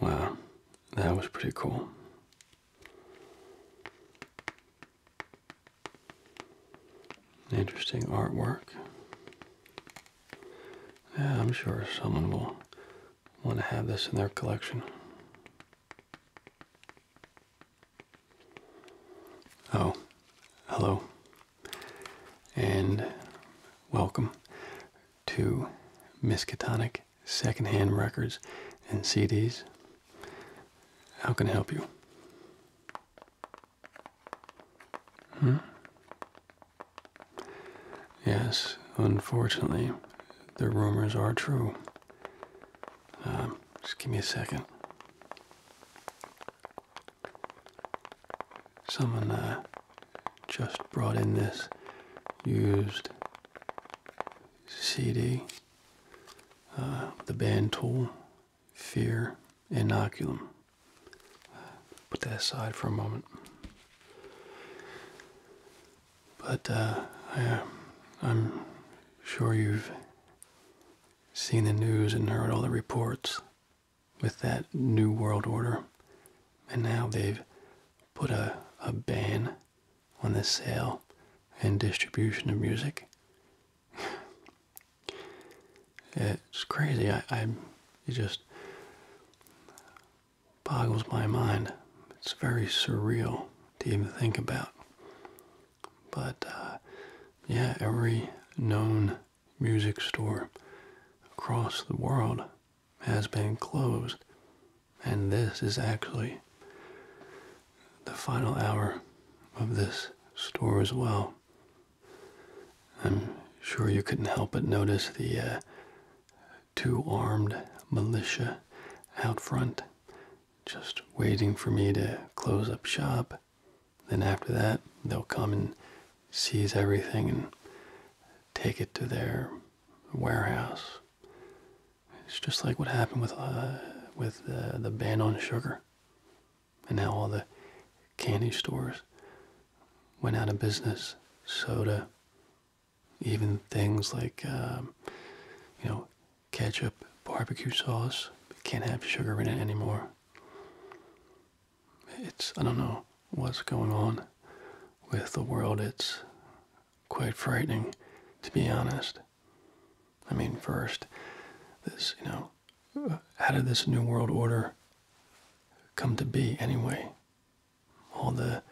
Wow, that was pretty cool. Interesting artwork. Yeah, I'm sure someone will want to have this in their collection. Oh, hello. And welcome to Miskatonic secondhand records and CDs. How can I help you? Hmm? Yes, unfortunately, the rumors are true. Um, just give me a second. Someone uh, just brought in this used CD, uh, the band tool, Fear, Inoculum. Put that aside for a moment. But uh, uh, I'm sure you've seen the news and heard all the reports with that New World Order. And now they've put a, a ban on the sale and distribution of music. it's crazy. I, I it just boggles my mind. It's very surreal to even think about. But uh, yeah, every known music store across the world has been closed. And this is actually the final hour of this store as well. I'm sure you couldn't help but notice the uh, two armed militia out front, just waiting for me to close up shop. Then after that, they'll come and seize everything and take it to their warehouse. It's just like what happened with uh, with the uh, the ban on sugar, and now all the candy stores went out of business. Soda, even things like um, you know ketchup, barbecue sauce can't have sugar in it anymore. It's I don't know what's going on with the world. It's quite frightening, to be honest. I mean, first, this, you know, how did this New World Order come to be anyway? All the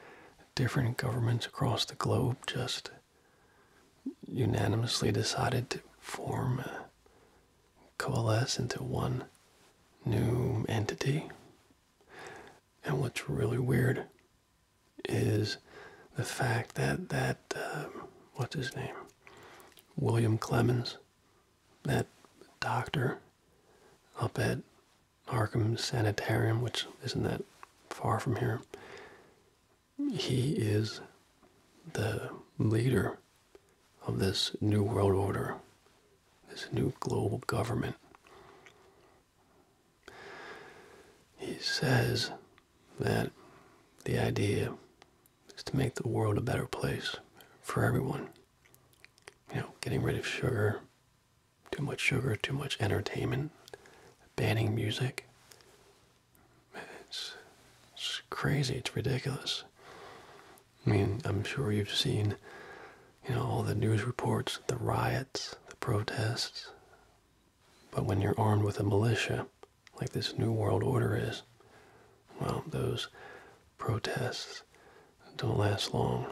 different governments across the globe just unanimously decided to form, uh, coalesce into one new entity. And what's really weird is the fact that that um, what's his name, William Clemens, that doctor up at Arkham Sanitarium, which isn't that far from here. He is the leader of this New World Order this new global government. He says that the idea is to make the world a better place for everyone. You know, getting rid of sugar, too much sugar, too much entertainment, banning music. It's, it's crazy, it's ridiculous. I mean, I'm sure you've seen you know, all the news reports, the riots, the protests. But when you're armed with a militia, like this New World Order is, well, those protests don't last long.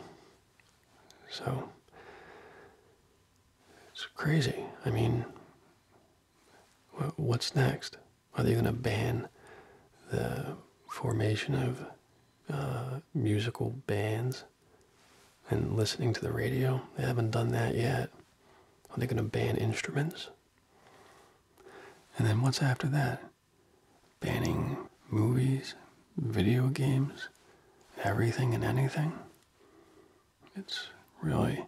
So, it's crazy. I mean, what's next? Are they going to ban the formation of uh, musical bands? and listening to the radio. They haven't done that yet. Are they going to ban instruments? And then what's after that? Banning movies, video games, everything and anything? It's really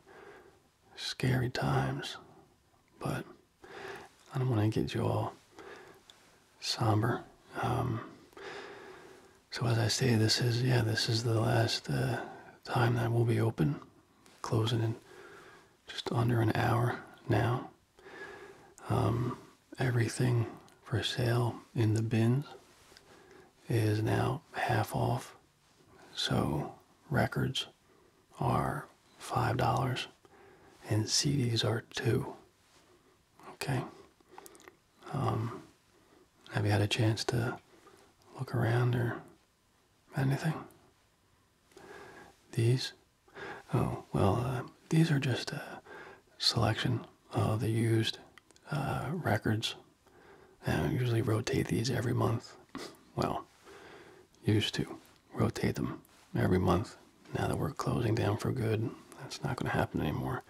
scary times, but I don't want to get you all somber. Um, so as I say, this is yeah, this is the last uh, time that we will be open, closing in just under an hour now. Um, everything for sale in the bins is now half off. So records are $5 and CDs are 2 Okay. Um, have you had a chance to look around or anything? These? Oh, well, uh, these are just a selection of the used uh, records. I usually rotate these every month. Well, used to rotate them every month now that we're closing down for good, that's not going to happen anymore.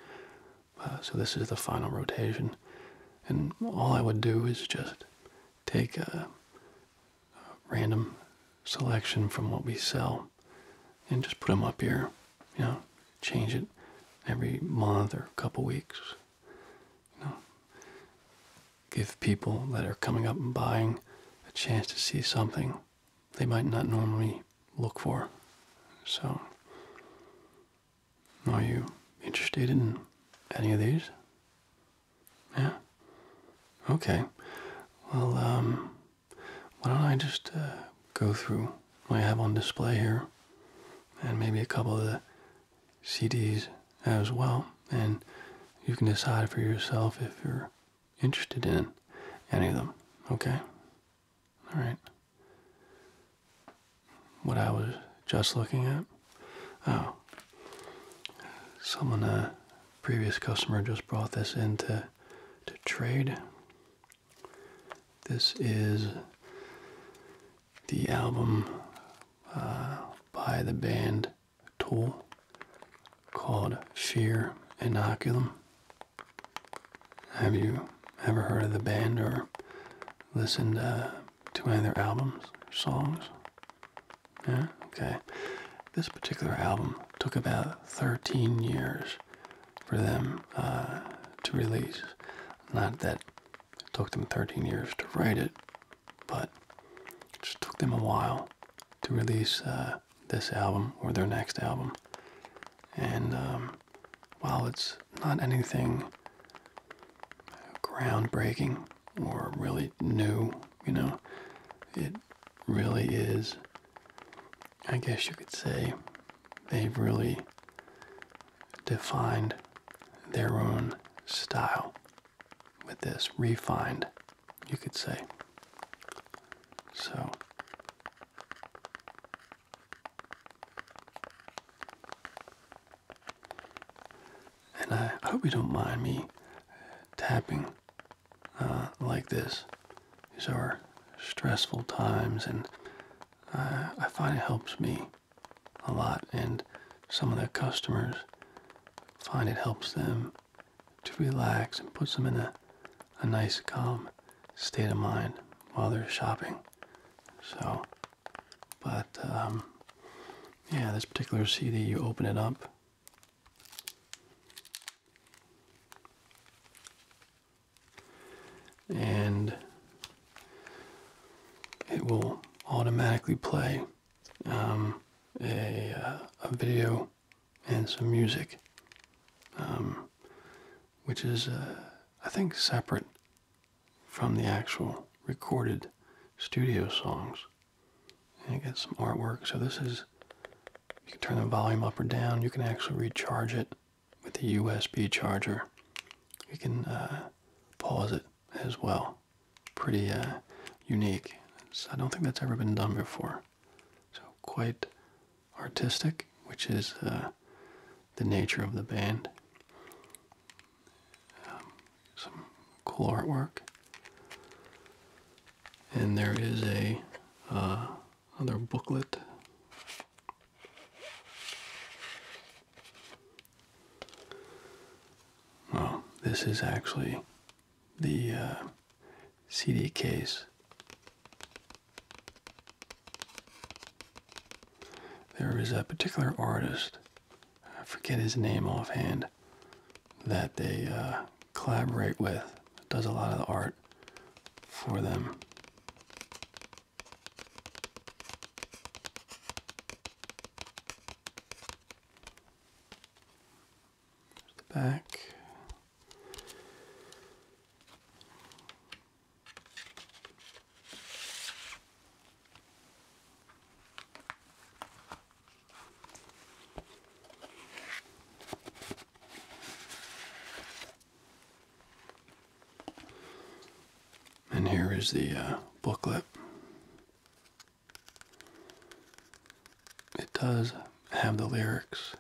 Uh, so this is the final rotation, and all I would do is just take a, a random selection from what we sell, and just put them up here. You know, change it every month or couple weeks. You know, give people that are coming up and buying a chance to see something they might not normally look for. So, are you interested in any of these? Yeah? Okay. Well, um, why don't I just uh, go through what I have on display here and maybe a couple of the CDs as well, and you can decide for yourself if you're interested in any of them, okay? All right. What I was just looking at. Oh, someone, a uh, previous customer, just brought this in to, to trade. This is the album uh, by the band Tool called Fear Inoculum. Have you ever heard of the band or listened uh, to any of their albums or songs? Yeah, okay. This particular album took about 13 years for them uh, to release. Not that it took them 13 years to write it, but it just took them a while to release uh, this album or their next album. And um, while it's not anything groundbreaking or really new, you know, it really is, I guess you could say, they've really defined their own style with this, refined, you could say. So, and I, hope you don't mind me tapping uh, like this. These are stressful times, and uh, I find it helps me a lot. And some of the customers find it helps them to relax and puts them in a, a nice calm state of mind while they're shopping. So, but um, yeah, this particular CD, you open it up. And it will automatically play um, a, uh, a video and some music. Um, which is, uh, I think, separate from the actual recorded studio songs. I get some artwork. So this is, you can turn the volume up or down. You can actually recharge it with a USB charger. You can uh, pause it as well. Pretty uh, unique. So I don't think that's ever been done before. So quite artistic, which is uh, the nature of the band. Um, some cool artwork, and there is a uh, another booklet. Well, this is actually the uh, CD case there is a particular artist, I forget his name offhand, that they uh, collaborate with, does a lot of art for them. Back and here is the uh, booklet. It does have the lyrics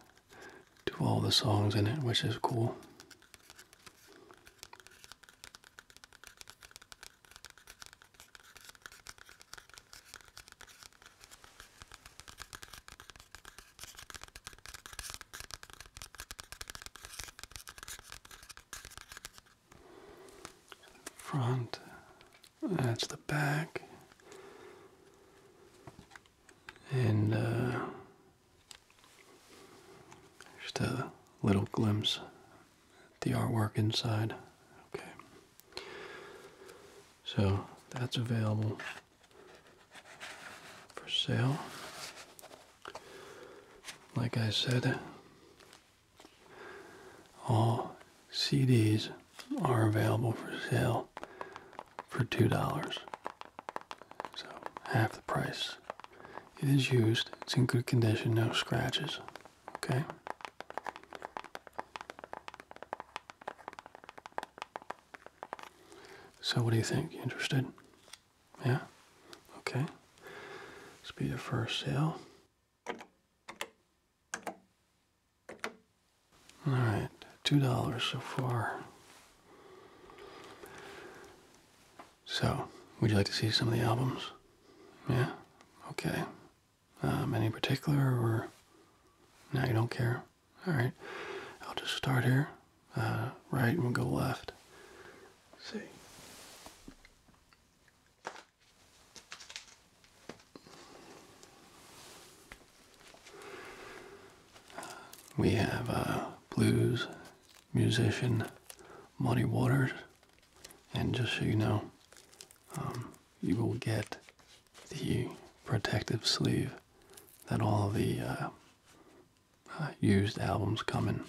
do all the songs in it, which is cool. Front, that's the back and uh, just a little glimpse at the artwork inside. Okay, so that's available for sale. Like I said, all CDs are available for sale for $2. So, half the price. It is used, it's in good condition, no scratches. Okay? So, what do you think? interested? Yeah? Okay. This will be the first sale. Alright, $2 so far. So, would you like to see some of the albums? Yeah? Okay. Um, any particular or. No, you don't care? Alright. I'll just start here. Uh, right, and we'll go left. see. We have blues musician, Muddy Waters, and just so you know, um, you will get the protective sleeve that all the uh, uh, used albums come in,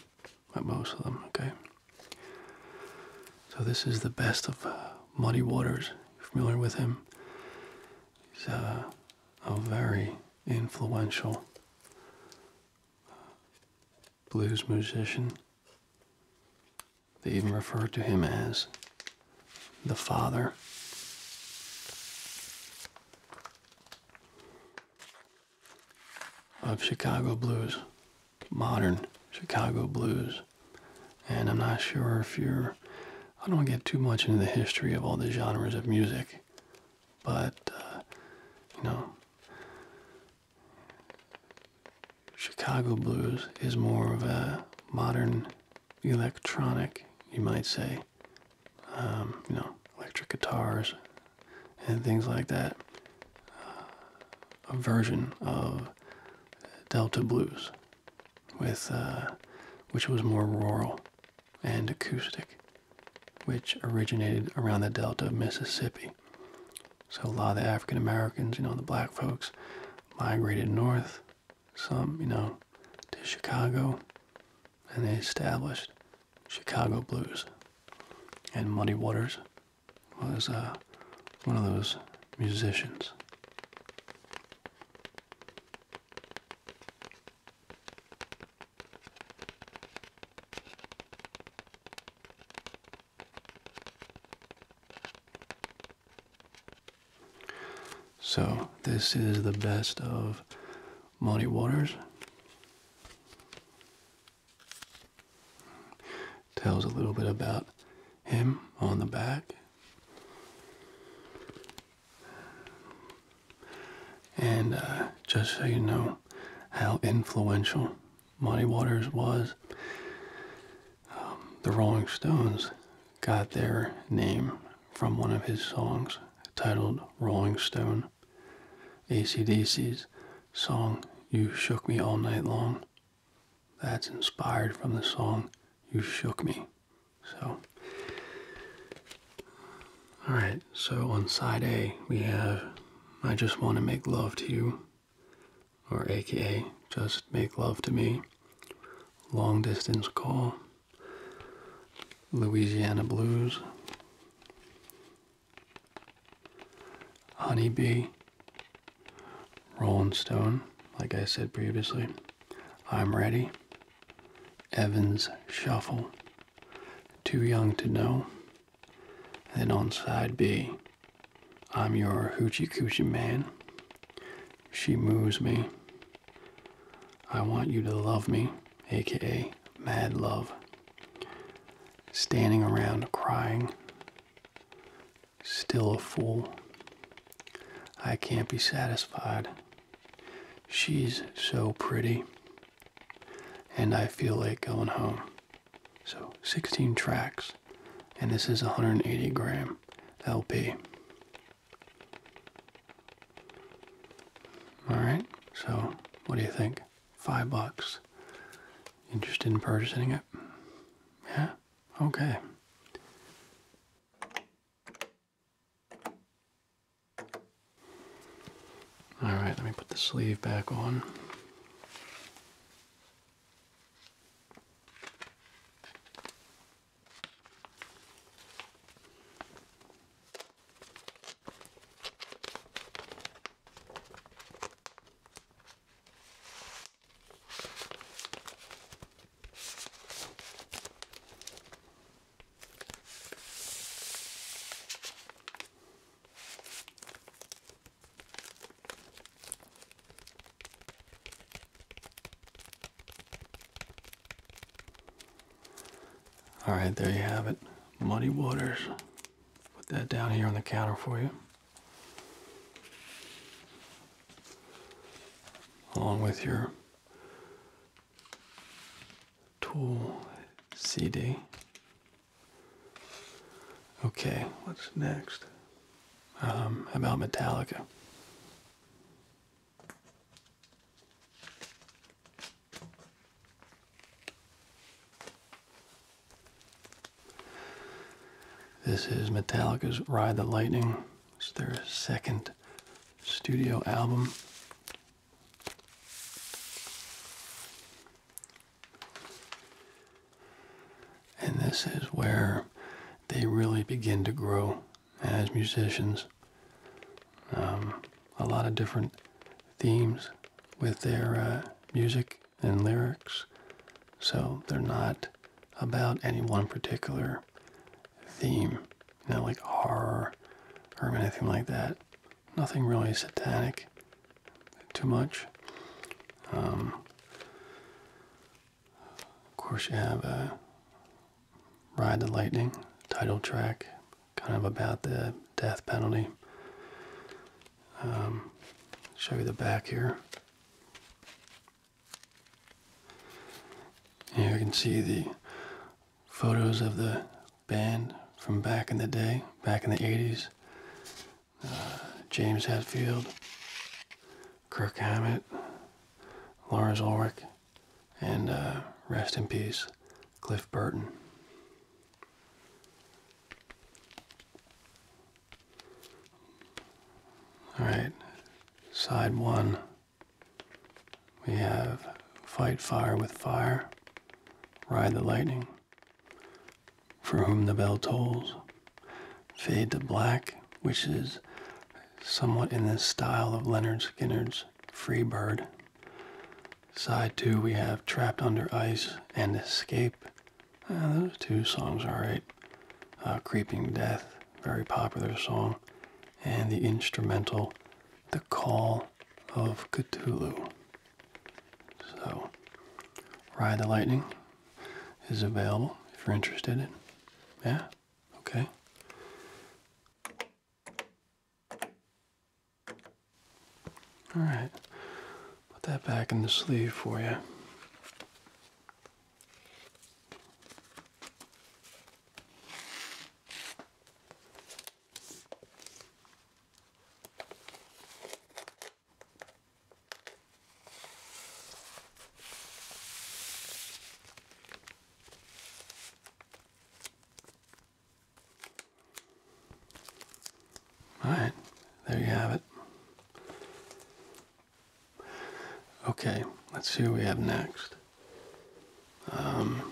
but most of them, okay? So this is the best of uh, Muddy Waters. You familiar with him? He's a very influential blues musician. They even refer to him as the father. Of Chicago blues, modern Chicago blues. And I'm not sure if you're, I don't get too much into the history of all the genres of music but uh, you know, Chicago blues is more of a modern electronic, you might say, um, you know, electric guitars and things like that. Uh, a version of Delta blues, with uh, which was more rural and acoustic which originated around the delta of Mississippi. So a lot of the African Americans, you know, the black folks migrated north, some, you know, to Chicago, and they established Chicago blues. And Muddy Waters was uh, one of those musicians. So, this is the best of Muddy Waters. Tells a little bit about him on the back. And uh, just so you know how influential Muddy Waters was, um, the Rolling Stones got their name from one of his songs titled Rolling Stone, ACDC's song You Shook Me All Night Long. That's inspired from the song You Shook Me. So, all right, so on side A, we have I just want to make love to you, or aka just make love to me, long distance call, Louisiana blues, honeybee, Rolling Stone, like I said previously, I'm ready, Evans shuffle, too Young to Know. then on side B, I'm Your Hoochie Coochie Man. She Moves Me. I Want You to Love Me, aka Mad Love. Standing Around Crying. Still a Fool. I Can't Be Satisfied. She's so pretty. And I feel like going home. So 16 tracks. And this is 180 gram LP. Alright, so what do you think? Five bucks. Interested in purchasing it? Yeah? Okay. All right, let me put the sleeve back on. All right, there you have it. Muddy Waters. Put that down here on the counter for you. Along with your Tool CD. Okay, what's next? Um, about Metallica. This is Metallica's Ride the Lightning. It's their second studio album. And this is where they really begin to grow as musicians. Um, a lot of different themes with their uh, music and lyrics. So they're not about any one particular theme. Not like R or anything like that. Nothing really satanic too much. Um, of course, you have uh, Ride the Lightning, title track, kind of about the death penalty. Um, show you the back here. you can see the photos of the band from back in the day, back in the 80s. Uh, James Hetfield, Kirk Hammett, Lars Ulrich, and uh, rest in peace, Cliff Burton. All right, side one. We have fight fire with fire, ride the lightning, for whom the bell tolls, fade to black, which is somewhat in the style of Leonard Skinner's Free Bird. Side two, we have Trapped Under Ice and Escape. Ah, those two songs are right. Uh, Creeping Death, very popular song, and the instrumental the Call of Cthulhu. So, Ride the Lightning is available if you're interested in. Yeah? Okay. Alright. Put that back in the sleeve for you. All right, there you have it. Okay, let's see what we have next. Um,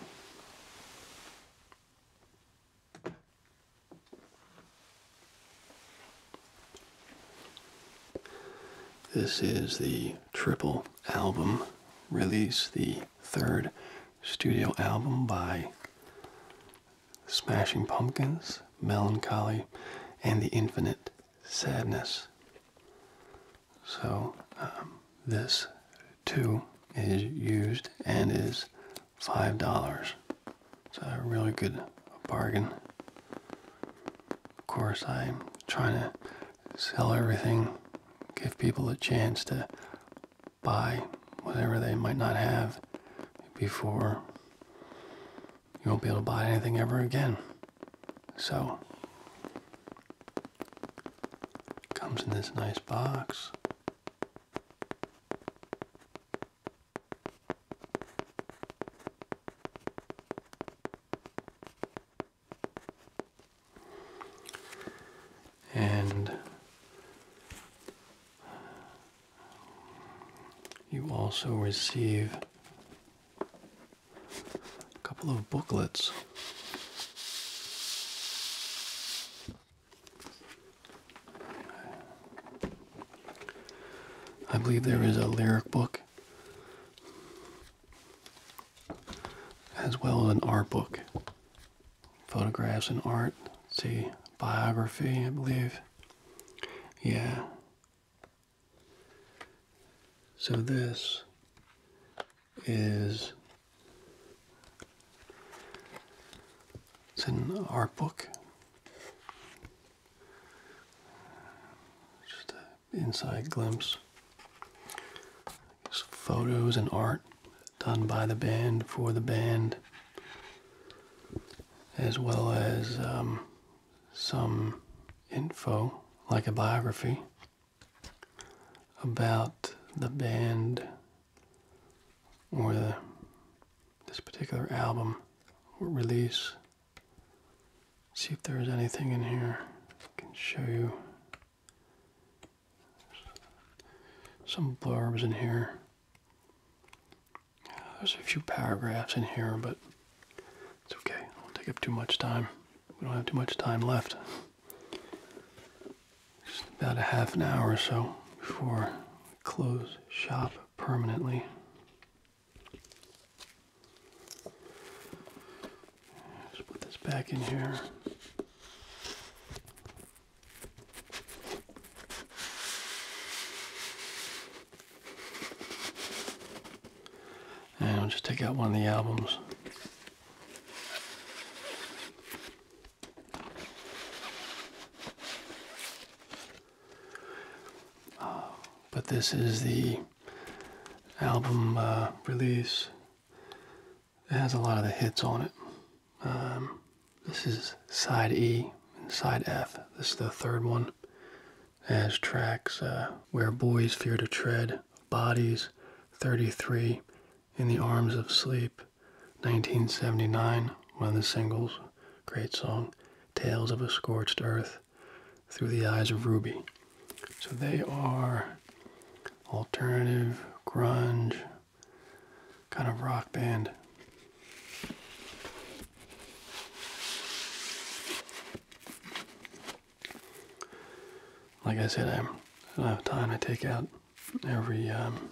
this is the triple album release, the third studio album by Smashing Pumpkins, Melancholy, and the Infinite Sadness. So, um, this two is used and is five dollars. It's a really good bargain. Of course, I'm trying to sell everything, give people a chance to buy whatever they might not have before you won't be able to buy anything ever again. So, Comes in this nice box. And you also receive a couple of booklets. I believe there is a lyric book as well as an art book. Photographs and art. see, biography, I believe. Yeah. So this is it's an art book. Just an inside glimpse. photos and art done by the band for the band, as well as um, some info like a biography about the band or this particular album or release. See if there's anything in here. I can show you some blurbs in here. There's a few paragraphs in here, but it's okay. We won't take up too much time. We don't have too much time left. Just about a half an hour or so before close shop permanently. Just put this back in here. And I'll just take out one of the albums. Oh, but this is the album uh, release. It has a lot of the hits on it. Um, this is side E and side F. This is the third one. has tracks uh, Where Boys Fear to Tread, Bodies, 33, in the Arms of Sleep, 1979, one of the singles, great song, Tales of a Scorched Earth, Through the Eyes of Ruby. So they are alternative, grunge, kind of rock band. Like I said, I'm, I do not have time I take out every um,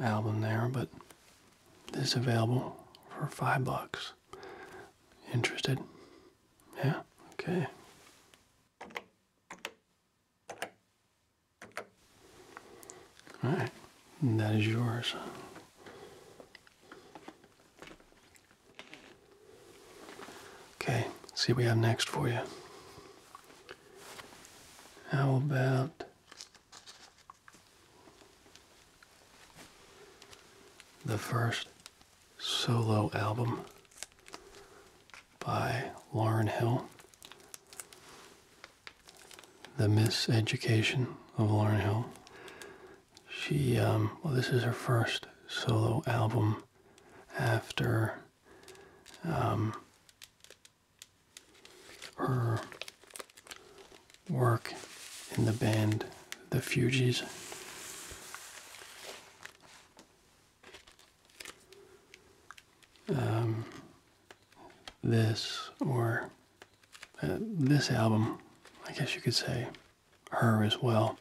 album there, but this is available for five bucks. Interested? Yeah? Okay. Alright, that is yours. Okay, see we have next for you. How about the first solo album by Lauren Hill? The Miseducation of Lauren Hill. She, um, well, this is her first solo album after um, her work in the band The Fugees. Um, this, or uh, this album, I guess you could say, her as well,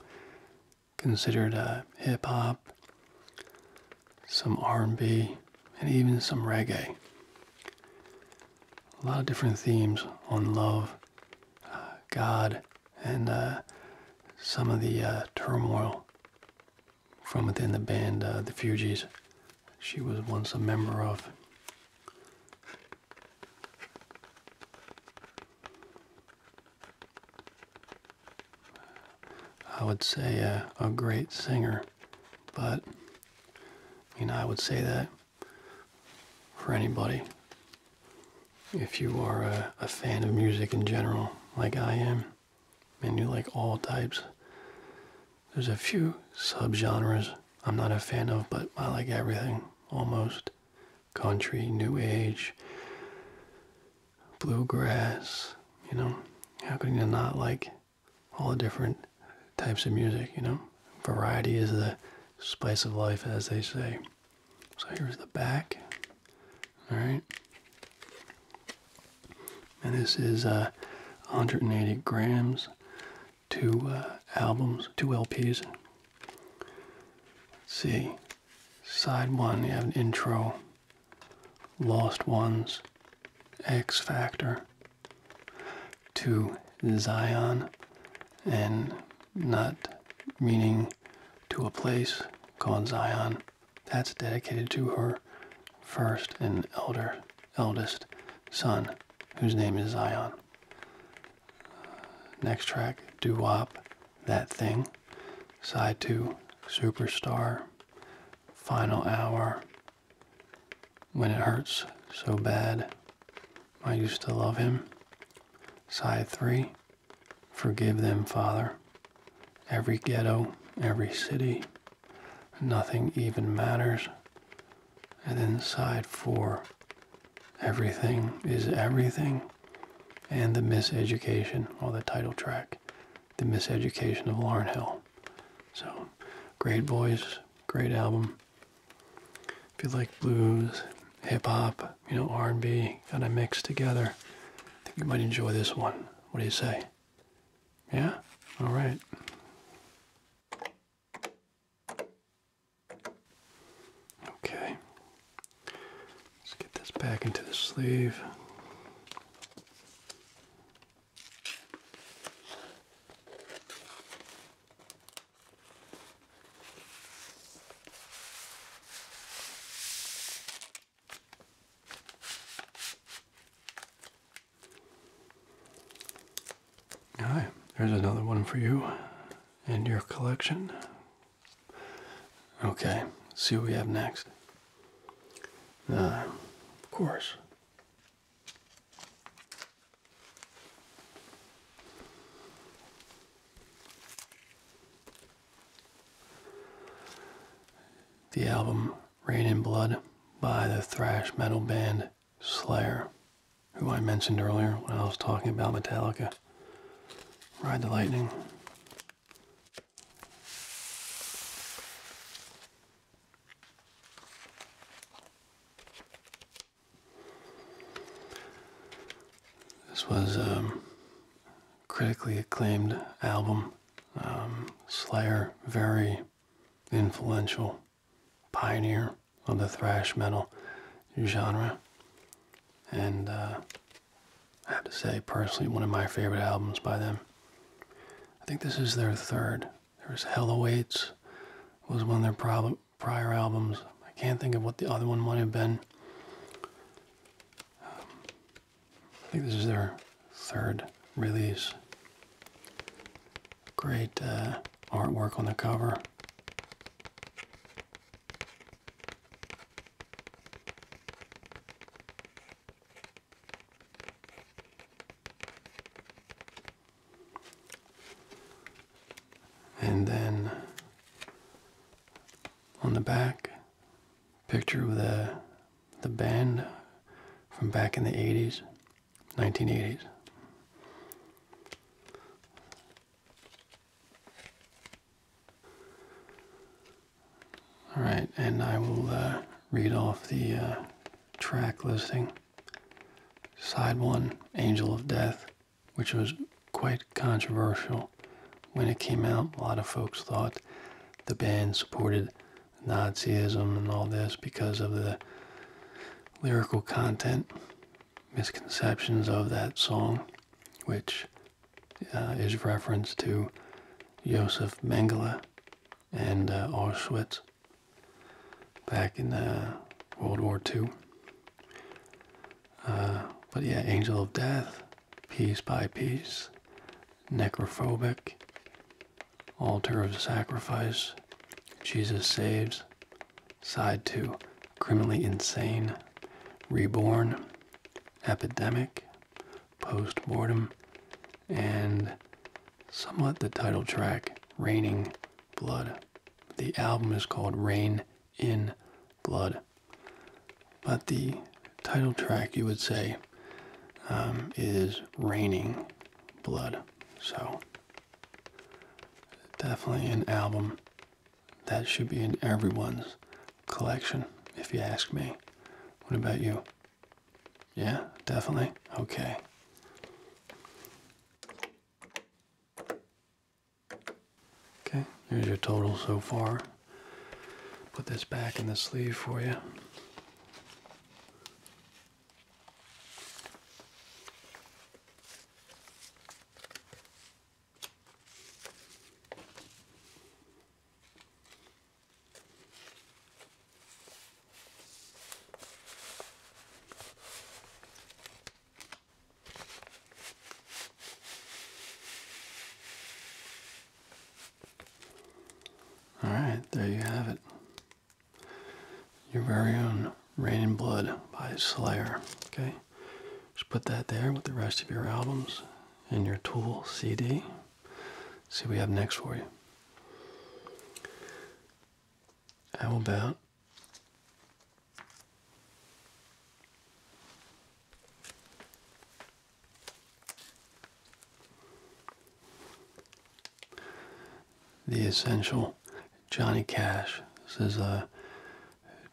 considered a hip hop some R&B, and even some reggae. A lot of different themes on love, uh, God, and uh, some of the uh, turmoil from within the band, The Fugees. She was once a member of. I would say a, great singer, but I mean, I would say that for anybody. If you are a, a fan of music in general, like I am, and you like all types, there's a few subgenres I'm not a fan of, but I like everything almost country, new age, bluegrass, you know. How can you not like all the different types of music, you know? Variety is the spice of life, as they say. So here's the back, all right? And this is 180 uh, grams, two uh, albums, two LPs. see, side one, you have an intro, Lost Ones, X Factor, to Zion, and not meaning to a place called Zion. That's dedicated to her first and elder, eldest son, whose name is Zion. Next track, Doo Wop, That Thing. Side 2, Superstar final hour when it hurts so bad. I used to love him. Side 3 Forgive them, Father. Every ghetto, every city, nothing even matters. And then side 4 Everything is everything and the miseducation All the title track the Miseducation of Lauren Hill. So, great voice, great album. If you like blues, hip hop, you know, R&B, kind of mixed together, I think you might enjoy this one. What do you say? Yeah? All right. Okay. Let's get this back into the sleeve. All right, there's another one for you and your collection. Okay, see what we have next. Uh, of course. The album Rain in Blood by the thrash metal band Slayer, who I mentioned earlier when I was talking about Metallica. Ride the Lightning. This was a critically acclaimed album. Um, Slayer, very influential pioneer of the thrash metal genre, and uh, I have to say, personally, one of my favorite albums by them. I think this is their third. There was Hell Awaits, was one of their prior albums. I can't think of what the other one might have been. Um, I think this is their third release. Great uh, artwork on the cover. And then on the back, picture of the, the band from back in the 80s, 1980s. All right, and I will uh, read off the uh, track listing. Side one, Angel of Death, which was quite controversial when it came out. A lot of folks thought the band supported Nazism and all this because of the lyrical content, misconceptions of that song, which uh, is reference to Josef Mengele, and uh, Auschwitz back in uh, World War II. Uh, but yeah, Angel of Death, Piece by Piece, Necrophobic, Altar of Sacrifice, Jesus Saves, Side 2, Criminally Insane, Reborn, Epidemic, Post Mortem, and somewhat the title track, Raining Blood. The album is called Rain in Blood. But the title track, you would say, um, is Raining Blood. So, definitely an album that should be in everyone's collection, if you ask me. What about you? Yeah, definitely. Okay. Okay, Here's your total so far. Put this back in the sleeve for you. All right, there you have it. Your very own Rain and Blood by Slayer. Okay, just put that there with the rest of your albums and your Tool CD. See what we have next for you. How about the essential Johnny Cash? This is uh,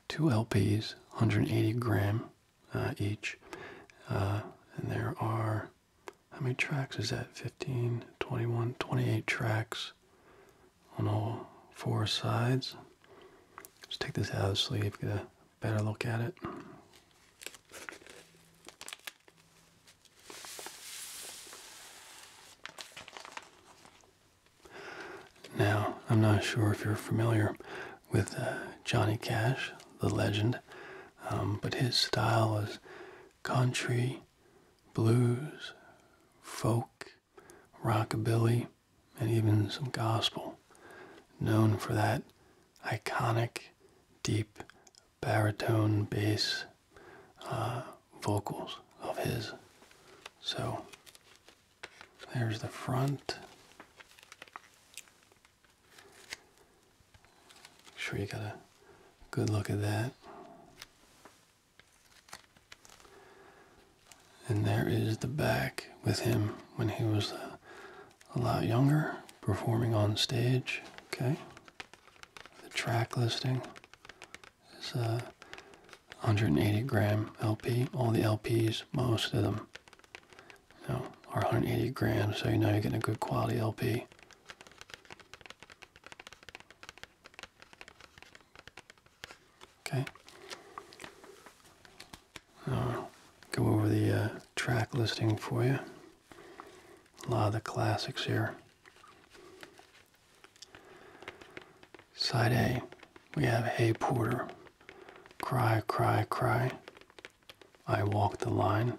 two LPs, 180 gram uh, each, uh, and there are how many tracks is that? 15, 21, 28 tracks on all four sides. Let's take this out of the sleeve, get a better look at it. Now, I'm not sure if you're familiar with uh, Johnny Cash, the legend, um, but his style was country, blues, folk, rockabilly, and even some gospel, known for that iconic, deep baritone bass uh, vocals of his. So there's the front. Sure, you got a good look at that. And there is the back with him when he was uh, a lot younger, performing on stage. Okay. The track listing is a uh, 180 gram LP, all the LPs, most of them you or 180 grams, so you know you're getting a good quality LP. Okay. i go over the uh, track listing for you. A lot of the classics here. Side A, we have Hay Porter, Cry, Cry, Cry, I walk the line.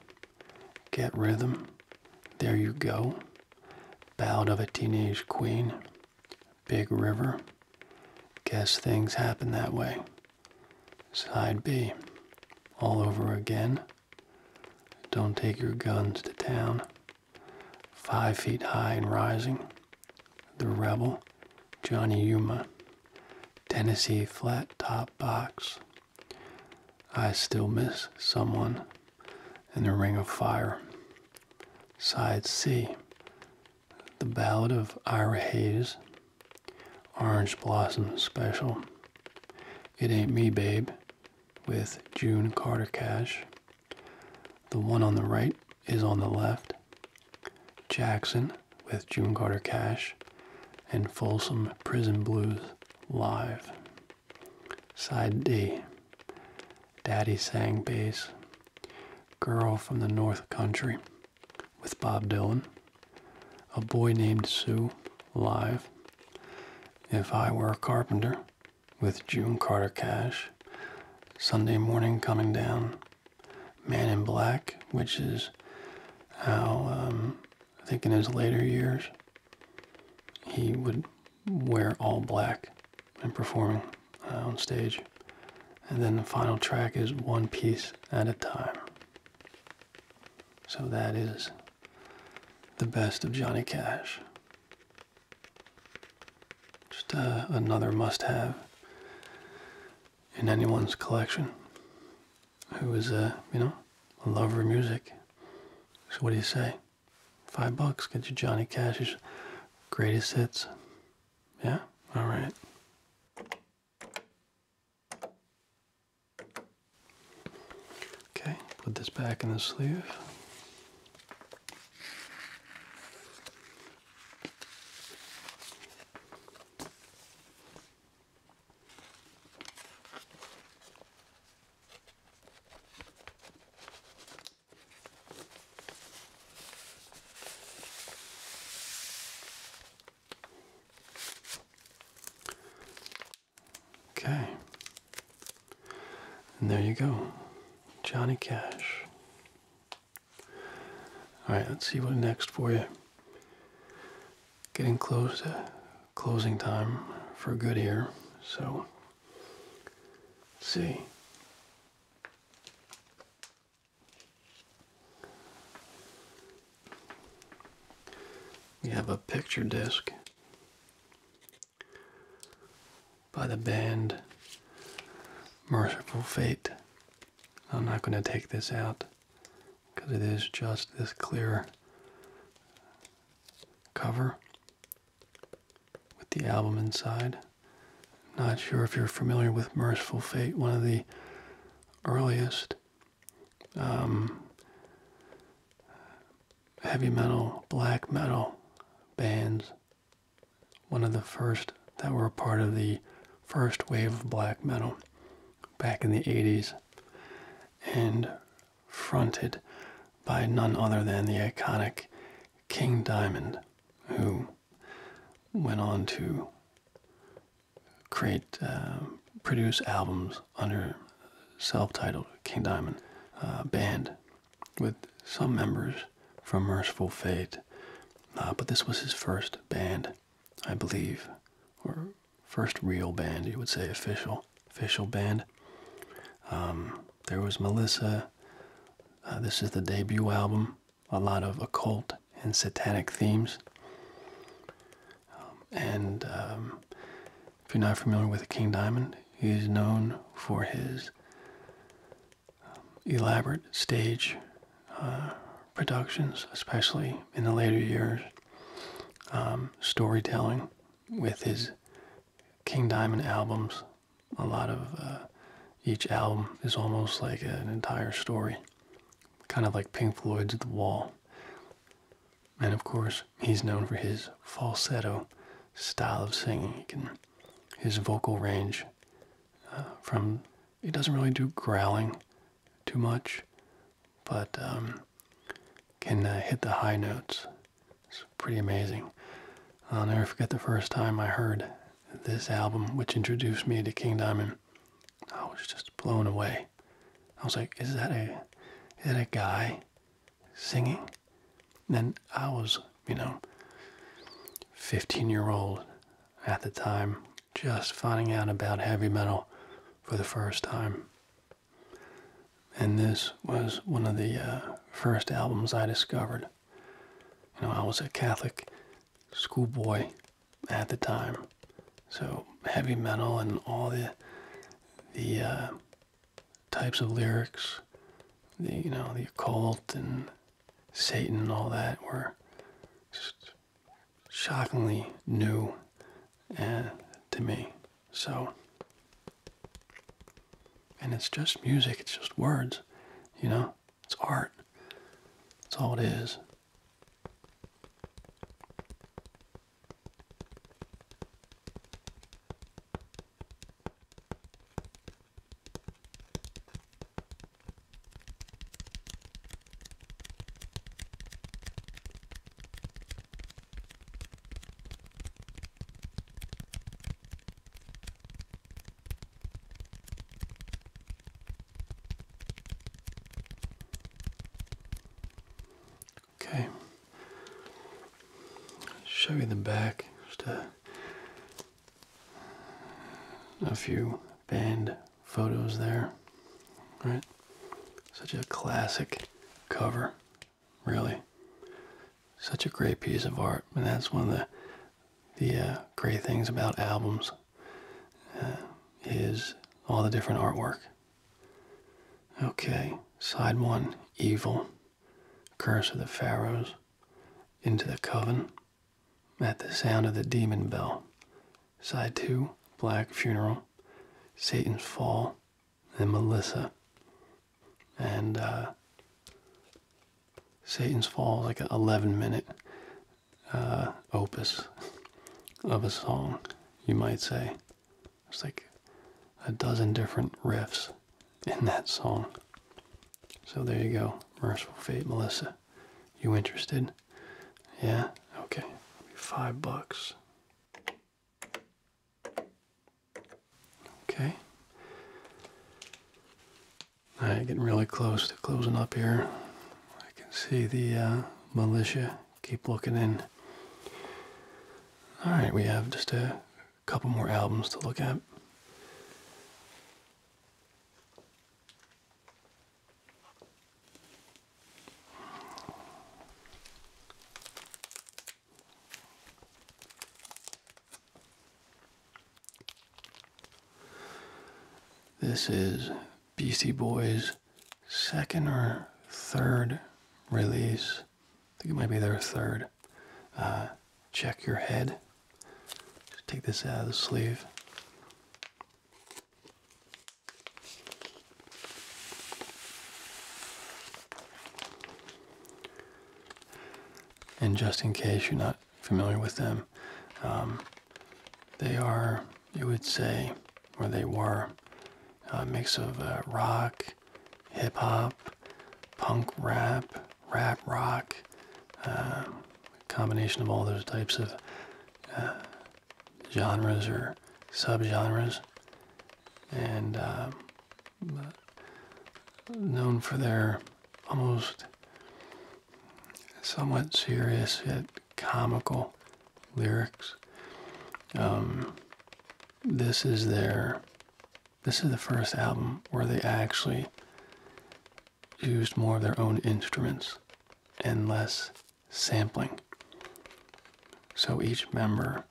Get rhythm. There you go. Ballad of a Teenage Queen. Big River. Guess things happen that way. Side B. All over again. Don't take your guns to town. Five feet high and rising. The Rebel. Johnny Yuma. Tennessee Flat Top Box. I still miss someone in the Ring of Fire. Side C The Ballad of Ira Hayes, Orange Blossom Special, It Ain't Me Babe with June Carter Cash. The one on the right is on the left. Jackson with June Carter Cash and Folsom Prison Blues live. Side D. Daddy sang bass. Girl from the North Country with Bob Dylan. A Boy Named Sue live. If I Were a Carpenter with June Carter Cash. Sunday Morning Coming Down. Man in Black, which is how um, I think in his later years, he would wear all black when performing uh, on stage. And then the final track is One Piece at a Time. So that is the best of Johnny Cash. Just uh, another must have in anyone's collection who was, uh, you know, a lover of music. So what do you say? Five bucks, get you Johnny Cash's greatest hits. Yeah? All right. Okay, put this back in the sleeve. Okay. And there you go. Johnny Cash. All right, let's see what next for you getting close to closing time for good here. So, let's see. We have a picture disc by the band Merciful Fate. I'm not going to take this out because it is just this clear cover with the album inside. Not sure if you're familiar with Merciful Fate, one of the earliest um, heavy metal, black metal bands, one of the first that were part of the first wave of black metal back in the 80s and fronted by none other than the iconic King Diamond, who went on to create, uh, produce albums under self-titled King Diamond uh, Band, with some members from Merciful Fate. Uh, but this was his first band, I believe, or first real band, you would say official official band. Um, there was Melissa. Uh, this is the debut album. A lot of occult and satanic themes. Um, and um, if you're not familiar with King Diamond, he's known for his elaborate stage uh, productions, especially in the later years. Um, storytelling with his King Diamond albums. A lot of uh, each album is almost like an entire story, kind of like Pink Floyd's The Wall. And of course, he's known for his falsetto style of singing. his vocal range uh, from, he doesn't really do growling too much, but um, can uh, hit the high notes. It's pretty amazing. I'll never forget the first time I heard this album, which introduced me to King Diamond. I was just blown away. I was like, "Is that a, is that guy singing?" then I was, you know, 15-year-old at the time, just finding out about heavy metal for the first time. And this was one of the uh, first albums I discovered. You know, I was a Catholic schoolboy at the time, so heavy metal and all the the uh, types of lyrics, the you know the occult and Satan and all that were just shockingly new uh, to me. So, and it's just music, it's just words, you know? It's art. That's all it is. Okay, show you the back, just a, a few band photos there, All right? Such a classic cover, really. Such a great piece of art, and that's one of the the uh, great things about albums uh, is all the different artwork. Okay, side one, evil, curse of the pharaohs, into the coven, at the sound of the demon bell. Side two, black funeral, Satan's fall, and Melissa. And uh, Satan's Fall like an 11 minute uh, opus of a song, you might say. It's like a dozen different riffs in that song. So there you go. Merciful Fate, Melissa. You interested? Yeah? Okay. Five bucks. Okay. All right, getting really close to closing up here. I can see the uh, militia keep looking in. All right, we have just a couple more albums to look at. This is Beastie Boys' second or third release. I think it might be their third. Uh, check your head. Just take this out of the sleeve. And just in case you're not familiar with them, um, they are, you would say, or they were, a mix of uh, rock, hip hop, punk rap, rap rock, uh, combination of all those types of uh, genres or subgenres and uh, known for their almost somewhat serious yet comical lyrics. Um, this is their this is the first album where they actually used more of their own instruments and less sampling. So each member,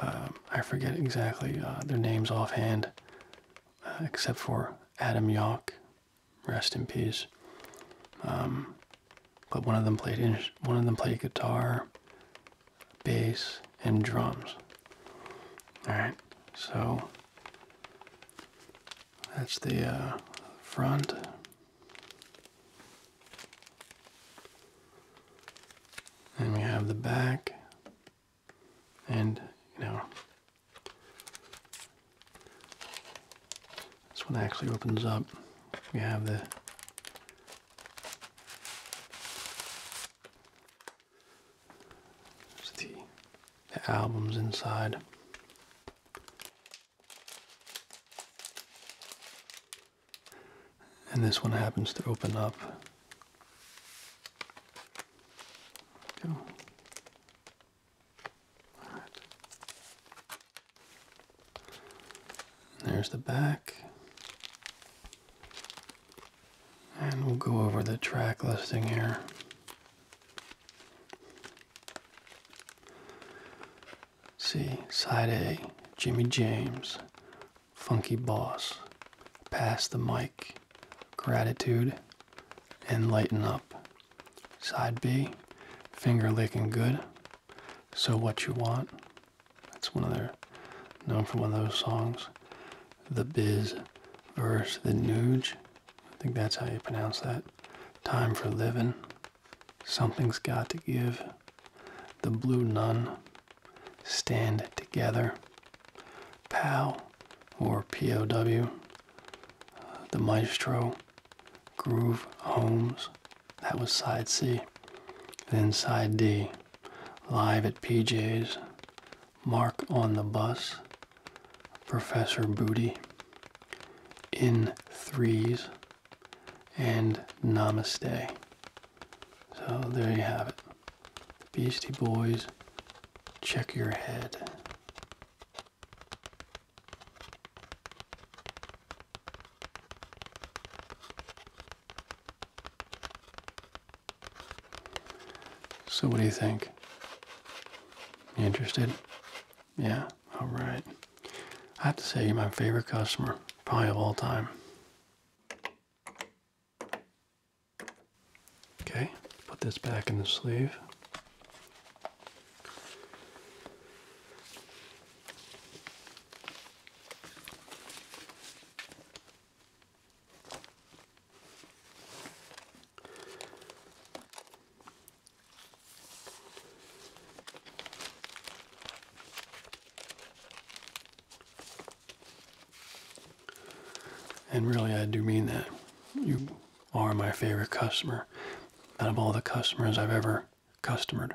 um, I forget exactly uh, their names offhand, uh, except for Adam Yauch, rest in peace. Um, but one of them played one of them played guitar, bass, and drums. All right, so that's the uh, front and we have the back and you know this one actually opens up we have the the, the albums inside and this one happens to open up. There's the back. And we'll go over the track listing here. See, side A, Jimmy James, Funky Boss, Pass the Mic, Gratitude, and Lighten Up. Side B, Finger Licking Good, So What You Want. That's one of their, known for one of those songs. The Biz verse The Nuge. I think that's how you pronounce that. Time for Living. Something's got to give. The blue nun. Stand together. POW or POW. Uh, the Maestro. Groove Holmes. That was side C. Then side D. Live at PJ's. Mark on the bus. Professor Booty. In threes and Namaste. So there you have it. Beastie Boys, check your head. So what do you think? interested? Yeah, all right. I have to say you're my favorite customer, probably of all time. Okay, put this back in the sleeve. And really, I do mean that. You are my favorite customer out of all the customers I've ever customered.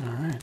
All right.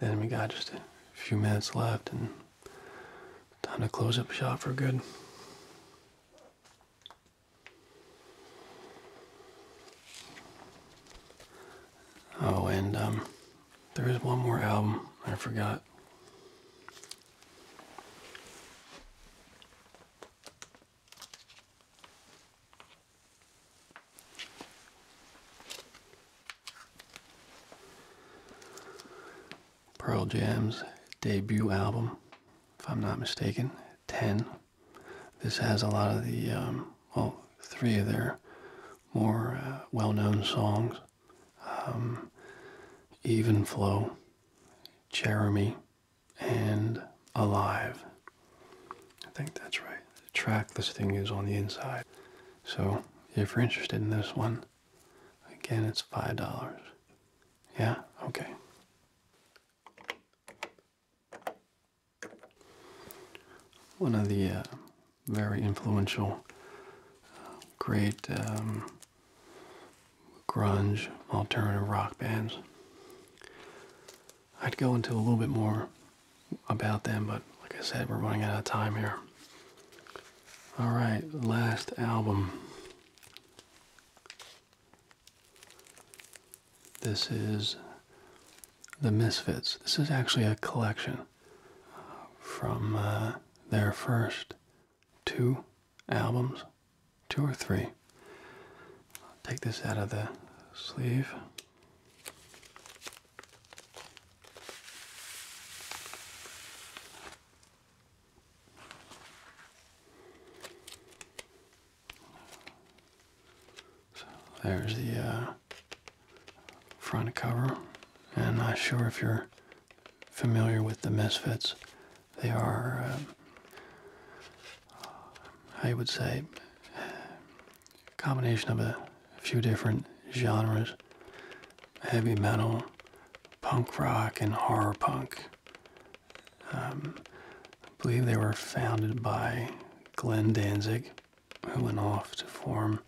then we got just a few minutes left and time to close up shop for good. Oh, and um, there is one more album I forgot. Pearl Jam's debut album, if I'm not mistaken, 10. This has a lot of the, um, well, three of their more uh, well known songs um, Even Flow, Jeremy, and Alive. I think that's right. Track this thing is on the inside. So if you're interested in this one, Again, it's $5. Yeah, okay. One of the uh, very influential, uh, great um, grunge alternative rock bands. I'd go into a little bit more about them, but like I said, we're running out of time here. All right, last album. This is The Misfits. This is actually a collection uh, from uh, their first two albums, two or three. I'll take this out of the sleeve. So there's the uh, front cover, and I'm not sure if you're familiar with the Misfits. They are, um, I would say, a combination of a few different genres heavy metal, punk rock, and horror punk. Um, I believe they were founded by Glenn Danzig, who went off to form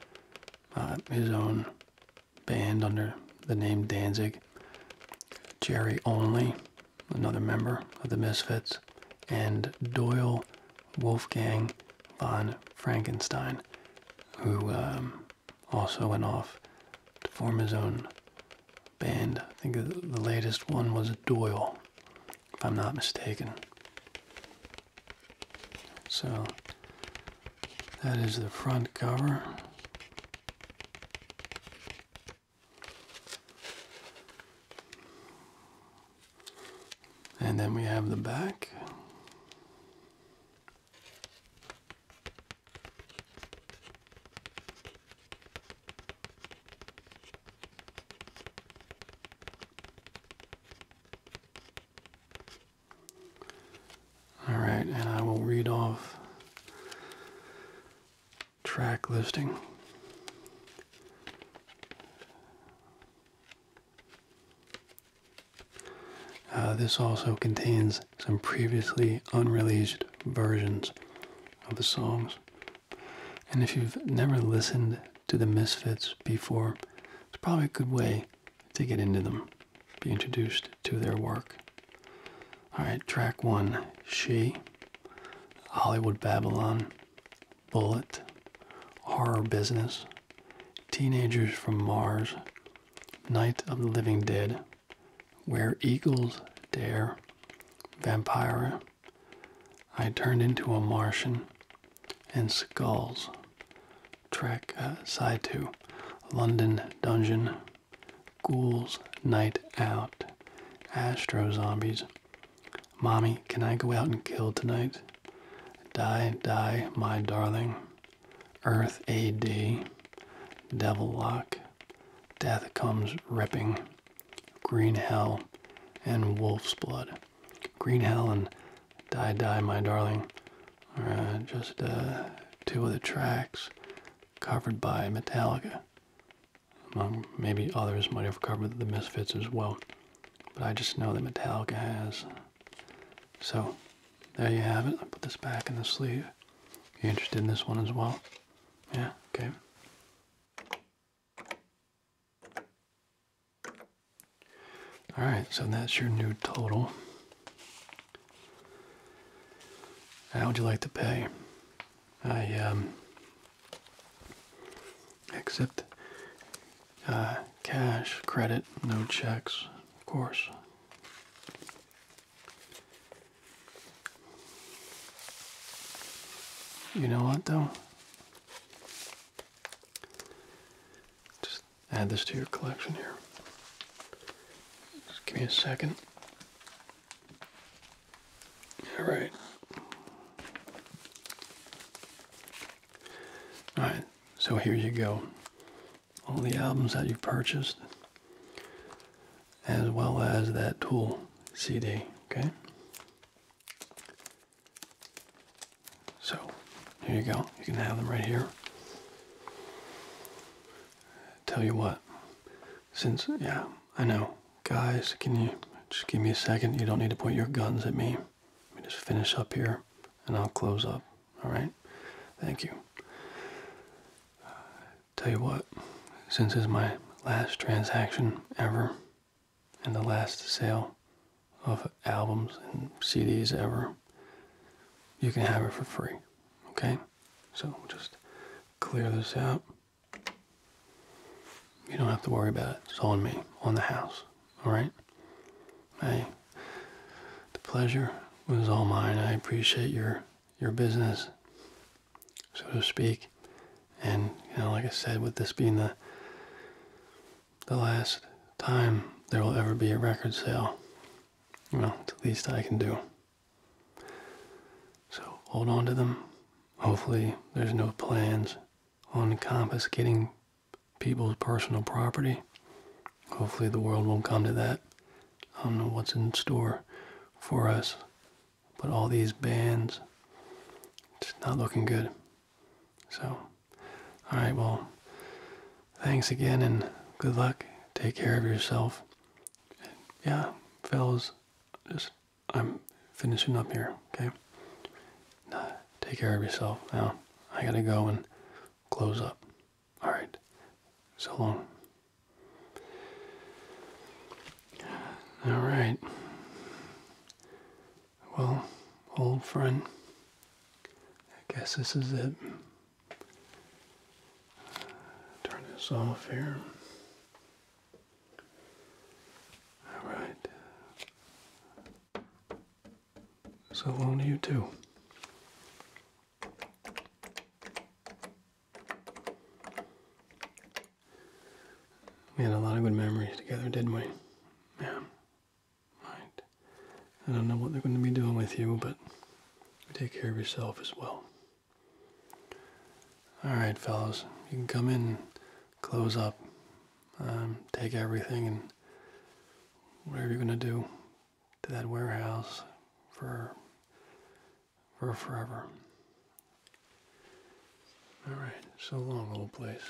uh, his own band under the name Danzig. Jerry Only, another member of the Misfits, and Doyle Wolfgang von Frankenstein, who um, also went off to form his own band. I think the latest one was Doyle, if I'm not mistaken. So that is the front cover. And then we have the back. All right, and I will read off track listing. Uh, this also contains some previously unreleased versions of the songs. And if you've never listened to the Misfits before, it's probably a good way to get into them, be introduced to their work. Alright, track one She, Hollywood Babylon, Bullet, Horror Business, Teenagers from Mars, Night of the Living Dead, Where Eagles Dare, Vampire, I Turned into a Martian, and Skulls. Track uh, side two, London Dungeon, Ghouls Night Out, Astro Zombies, Mommy, Can I Go Out and Kill Tonight? Die, Die, My Darling, Earth AD, Devil Lock, Death Comes Ripping, Green Hell, and Wolf's Blood. Green Hell and Die Die My Darling uh, just uh, two of the tracks covered by Metallica. maybe others might have covered the Misfits as well, but I just know that Metallica has. So there you have it. i put this back in the sleeve. you're interested in this one as well. Yeah, okay. Alright, so that's your new total. How would you like to pay? I um, accept uh, cash, credit, no checks, of course. You know what, though? Just add this to your collection here. Just give me a second. All right. All right, so here you go all the albums that you purchased, as well as that Tool CD. Okay? So, here you go. You can have them right here. Tell you what, since, yeah, I know. Guys, can you just give me a second? You don't need to point your guns at me. Let me just finish up here and I'll close up. All right? Thank you. Uh, tell you what, since it's my last transaction ever and the last sale of albums and CDs ever, you can have it for free. Okay? So just clear this out. You don't have to worry about it. It's on me, on the house. All right? I the pleasure was all mine. I appreciate your your business, so to speak. And you know, like I said, with this being the the last time there will ever be a record sale, well, at least I can do. So hold on to them. Hopefully, there's no plans on confiscating people's personal property. Hopefully, the world won't come to that. I don't know what's in store for us, but all these bans, it's not looking good. So, all right, well, thanks again and good luck. Take care of yourself. yeah, fellas, just I'm finishing up here, okay? take care of yourself. Now, I gotta go and close up. All right. So long. All right. Well, old friend, I guess this is it. Turn this off here. All right. So long you too. We had a lot of good memories together, didn't we? Yeah. Right. I don't know what they're going to be doing with you, but take care of yourself as well. All right, fellows, you can come in, close up, um, take everything, and whatever you're going to do, to that warehouse for for forever. All right, so long, old place.